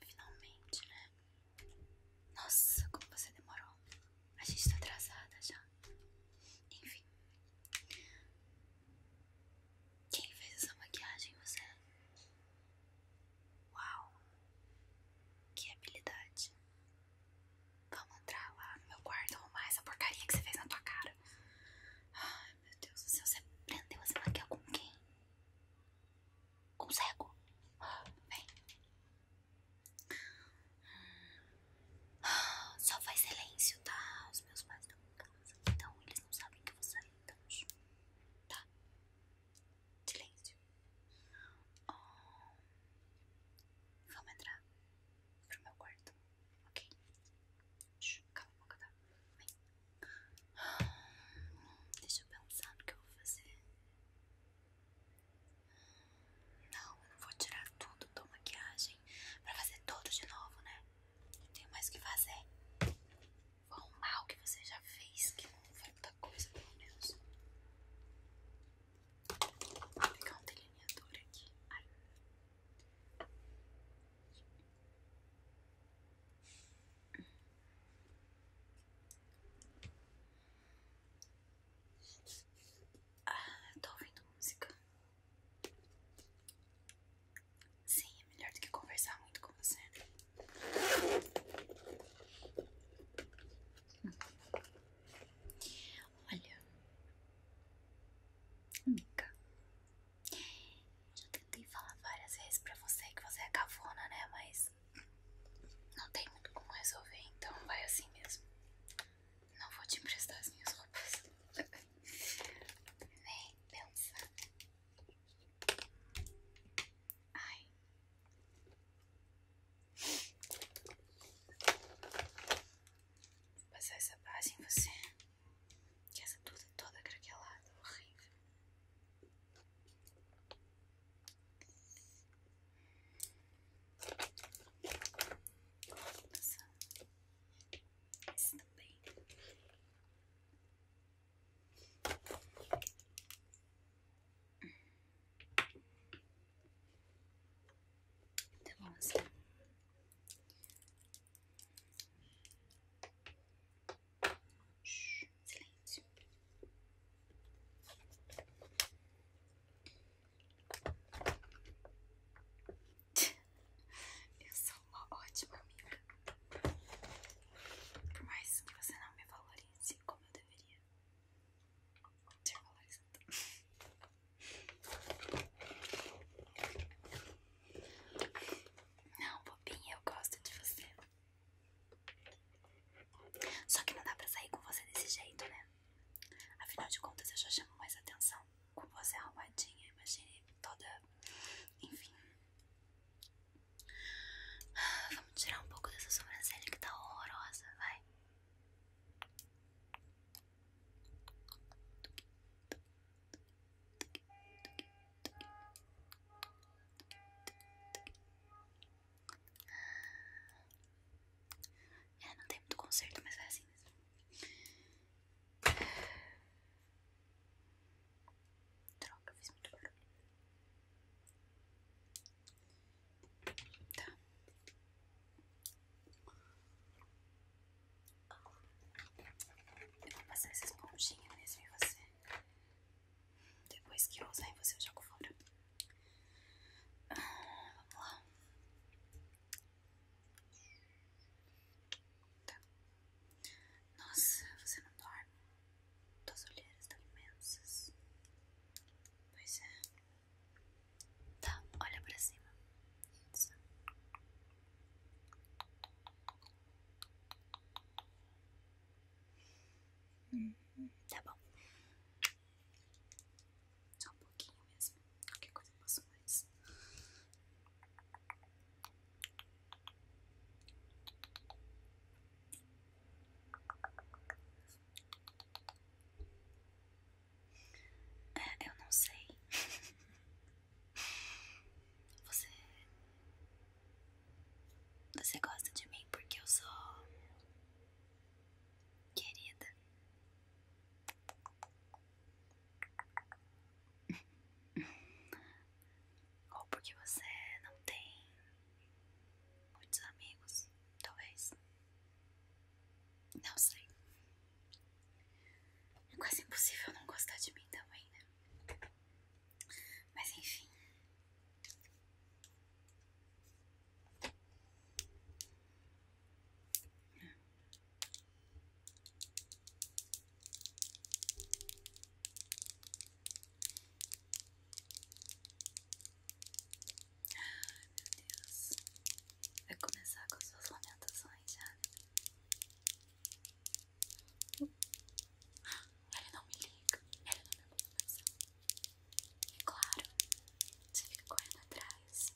Finalmente, né? Nossa, como você demorou. A gente tá atrasada já. Enfim. Quem fez essa maquiagem, você? Uau! Que habilidade! Vamos entrar lá meu guarda. arrumar essa porcaria que você fez na tua cara. Ai, meu Deus do céu, você prendeu essa maquiagem com quem? Com cego? Vem. Só faz silêncio, tá? Os meus pais estão em casa, então eles não sabem que eu vou sair, então... Tá? Silêncio. Ah, vamos entrar pro meu quarto, ok? Tá? Ah, deixa eu pensar no que eu vou fazer. Não, não vou tirar tudo da maquiagem pra fazer tudo de novo, né? Não tenho mais o que fazer. Foi um mal que você já fez, que não foi muita coisa, pelo menos. Vou pegar um delineador aqui. Ai. Ah, eu tô ouvindo música. Sim, é melhor do que conversar muito com você. Olha, amiga, já tentei falar várias vezes pra você que você é cavona né? Mas não tem muito como resolver, então vai assim mesmo. Não vou te emprestar as minhas roupas. Nem pensar. Ai. Vou passar essa base em você. Que essa tudo toda craquelada, horrível. Vou passar esse também. Tá bom assim. silêncio. Eu sou sou uma ótima amiga. Por mais que você não me valorize como eu deveria ser valorizada. Não, bobinha, eu gosto de você. Só que não dá pra sair com você desse jeito, né? Afinal de contas, eu já chamo mais atenção com você arrumadinha, imagine toda. Enfim, Vamos tirar um pouco dessa sobrancelha que tá horrorosa, vai. É, no tempo do concerto, mas vai assim mesmo. Droga, fiz muito barulho. Tá. Eu vou passar essa esponjinha mesmo em você. Depois que eu usar em você, eu jogo fora. vamos lá. Tá. Nossa, você não dorme? Tuas olheiras estão imensas. Pois é. Tá, olha pra cima. Isso. Hum, tá bom. Só um pouquinho mesmo. Qualquer coisa eu posso mais. É, eu não sei. Você. Você gosta de mim porque eu sou. Querida. Ou porque você não tem muitos amigos, talvez. Não sei. É quase impossível não gostar de mim também, né? Mas enfim. Ai, meu Deus. Vai começar com suas lamentações já, Ele não me liga, ele não me manda mensagem. E claro, você fica correndo atrás.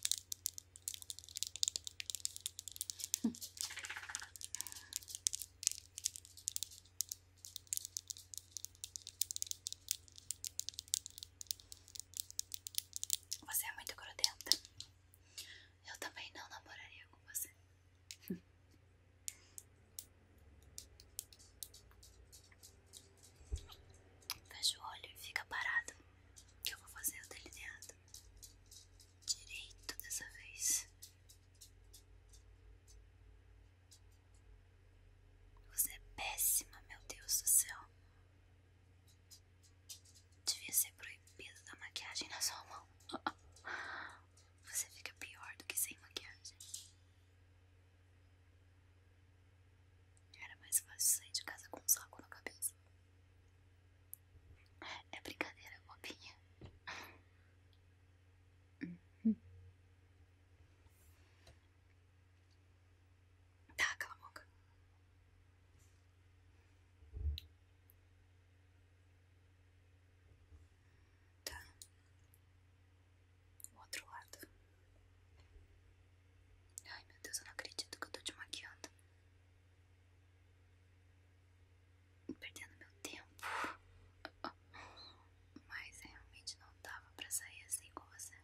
Você é muito grudenta. Eu também não namoraria com você. Fecha o olho e fica parado. Que eu vou fazer o delineado direito dessa vez. Você é péssima, meu Deus do céu. Devia ser proibido da maquiagem na sua mão. Você fica pior do que sem maquiagem. Era mais fácil sair de casa com um saco na cabeça. É brincadeira, é bobinha. Uhum. Tá, cala a boca. Tá. O outro lado. Ai, meu Deus, eu não acredito que eu tô te maquiando perdendo meu tempo. Mas é, realmente não dava pra sair assim com você.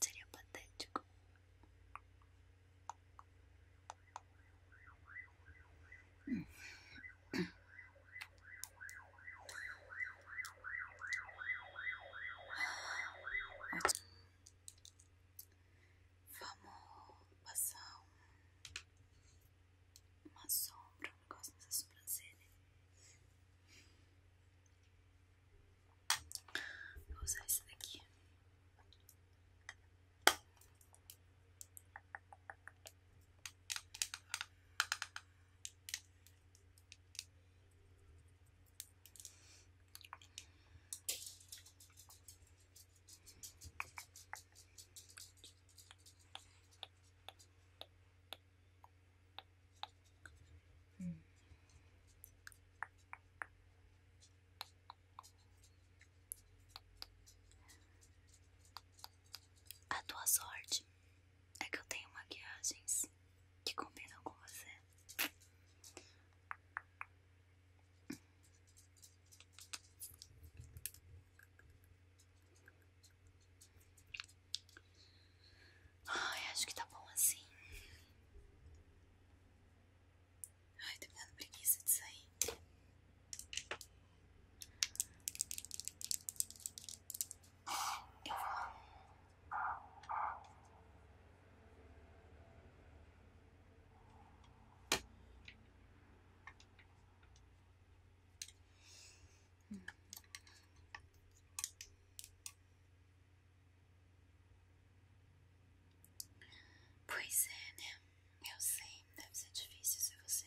Seria patético. Hum. Vamos passar uma sombra, um negócio nessa sobrancelha. Vou usar esse daqui. A tua sorte é que eu tenho maquiagens que combinam com você. Ai, acho que tá bom assim. Ai, tô me dando preguiça de sair. Pois é, né? Eu sei, deve ser difícil se você.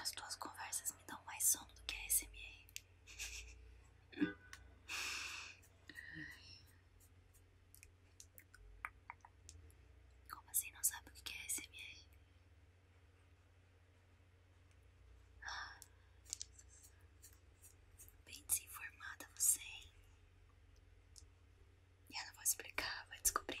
As tuas conversas me dão mais sono do que a SMA. Como assim não sabe o que é a SMA? Ah, bem desinformada você, hein? E eu não vou explicar, vai descobrir.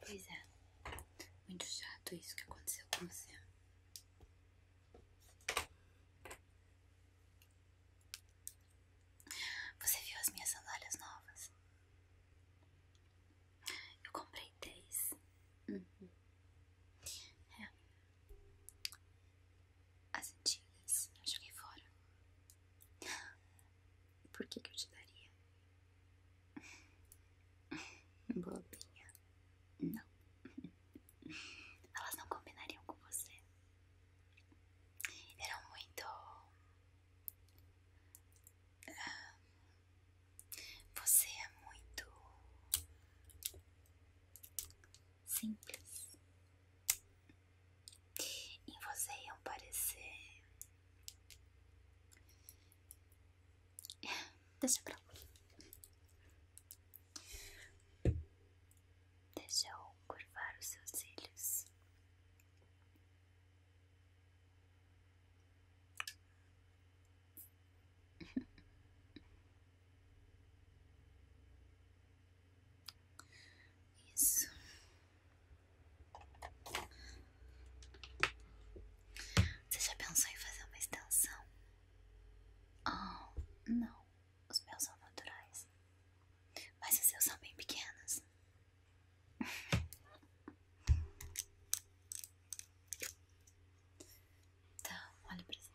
Pois é, muito chato isso que aconteceu com você. Você viu as minhas sandálias novas? Eu comprei três. Uhum. É. As antigas eu joguei fora. Por que, eu te daria? Bobinha. Não. Elas não combinariam com você. Eram muito. Ah, você é muito. Simples. E você iam parecer Deixa pra lá. Deixa eu curvar os seus cílios. Isso. Você já pensou em fazer uma extensão? Ah, não. Os meus são naturais. Mas os seus são bem pequenos. Então, olha pra cima.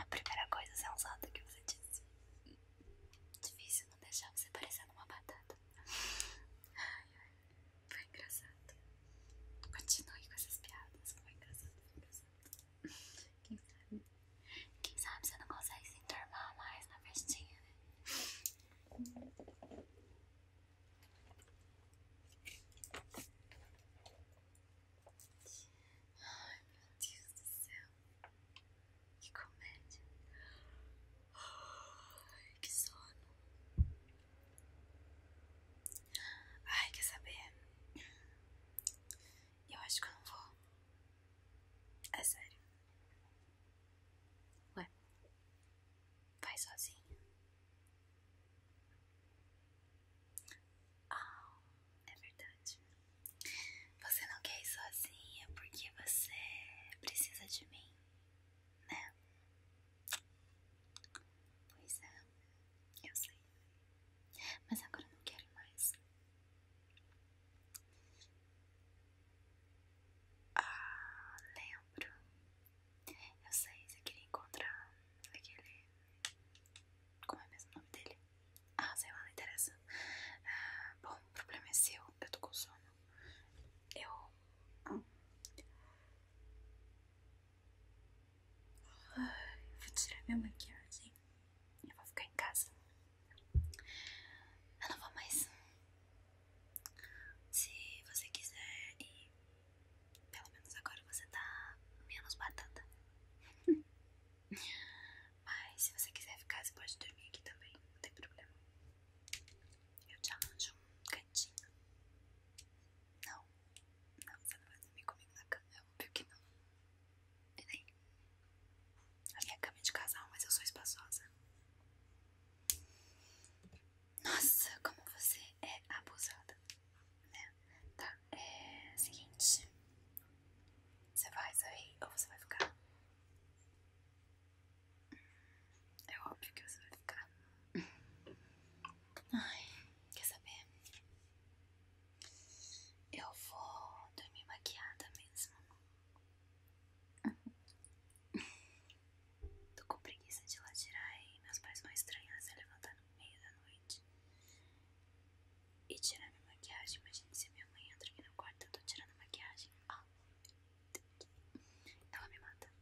A primeira coisa sensata que você disse. Difícil não deixar você parecendo uma batata. Ai, ai. Foi engraçado. Continue com essas piadas. Foi engraçado, foi engraçado. Quem sabe? Quem sabe você não consegue se enturmar mais na festinha, né? Ai, meu Deus do céu. Que comédia. que sono. Ai, quer saber? Eu acho que eu não vou. É sério. Ué, vai sozinho. Oh, é verdade. Você não quer ir sozinha porque você precisa de mim, né? Pois é, eu sei. Mas agora eu não quero mais. Ah, lembro. Eu sei, você queria encontrar aquele. Como é mesmo o nome dele? Ah, sei lá, não interessa. Ah, bom, o problema é seu, eu tô com sono. Eu. Ai, vou tirar minha maquiagem. Eu vou ficar em casa. Eu não vou mais. Se você quiser ir pelo menos agora você tá menos batata. Mas se você quiser ficar, você pode dormir aqui também, não tem problema. Eu te arranjo um cantinho. Não, não, você não vai dormir comigo na cama, é óbvio que não. E nem. A minha cama é de casal, mas eu sou espaçosa. Nossa, como você é abusada, né? Tá, é seguinte. Você vai sair ou você vai ficar? É óbvio que você vai ficar. Ai, quer saber? Eu vou dormir maquiada mesmo. Tô com preguiça de ir lá tirar e meus pais vão estranhar se levantar no meio da noite e tirar minha maquiagem. Imagina se minha mãe entra aqui no quarto eu tô tirando a maquiagem. Ah, ela me mata.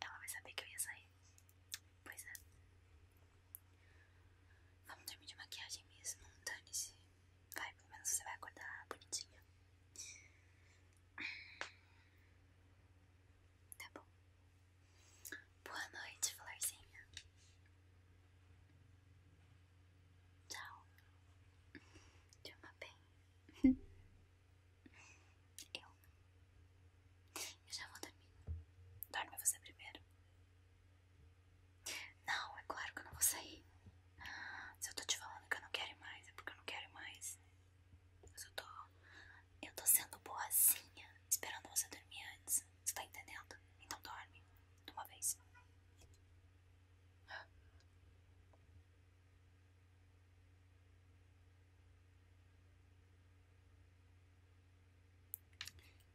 Ela vai saber que eu ia sair. Pois é. Vamos dormir de maquiagem mesmo, dane-se. Vai, pelo menos você vai acordar bonitinha tá bom? Boa noite, florzinha. Tchau. Durma bem. Eu. Eu já vou dormir. Dorme você primeiro. Não, é claro que eu não vou sair. Se eu tô te falando que eu não quero mais, é porque eu não quero mais. Eu só tô eu tô sendo boazinha esperando você dormir antes. Você tá entendendo? Então dorme. De uma vez.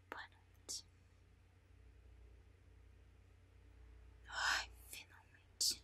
Boa noite. Ai, finalmente.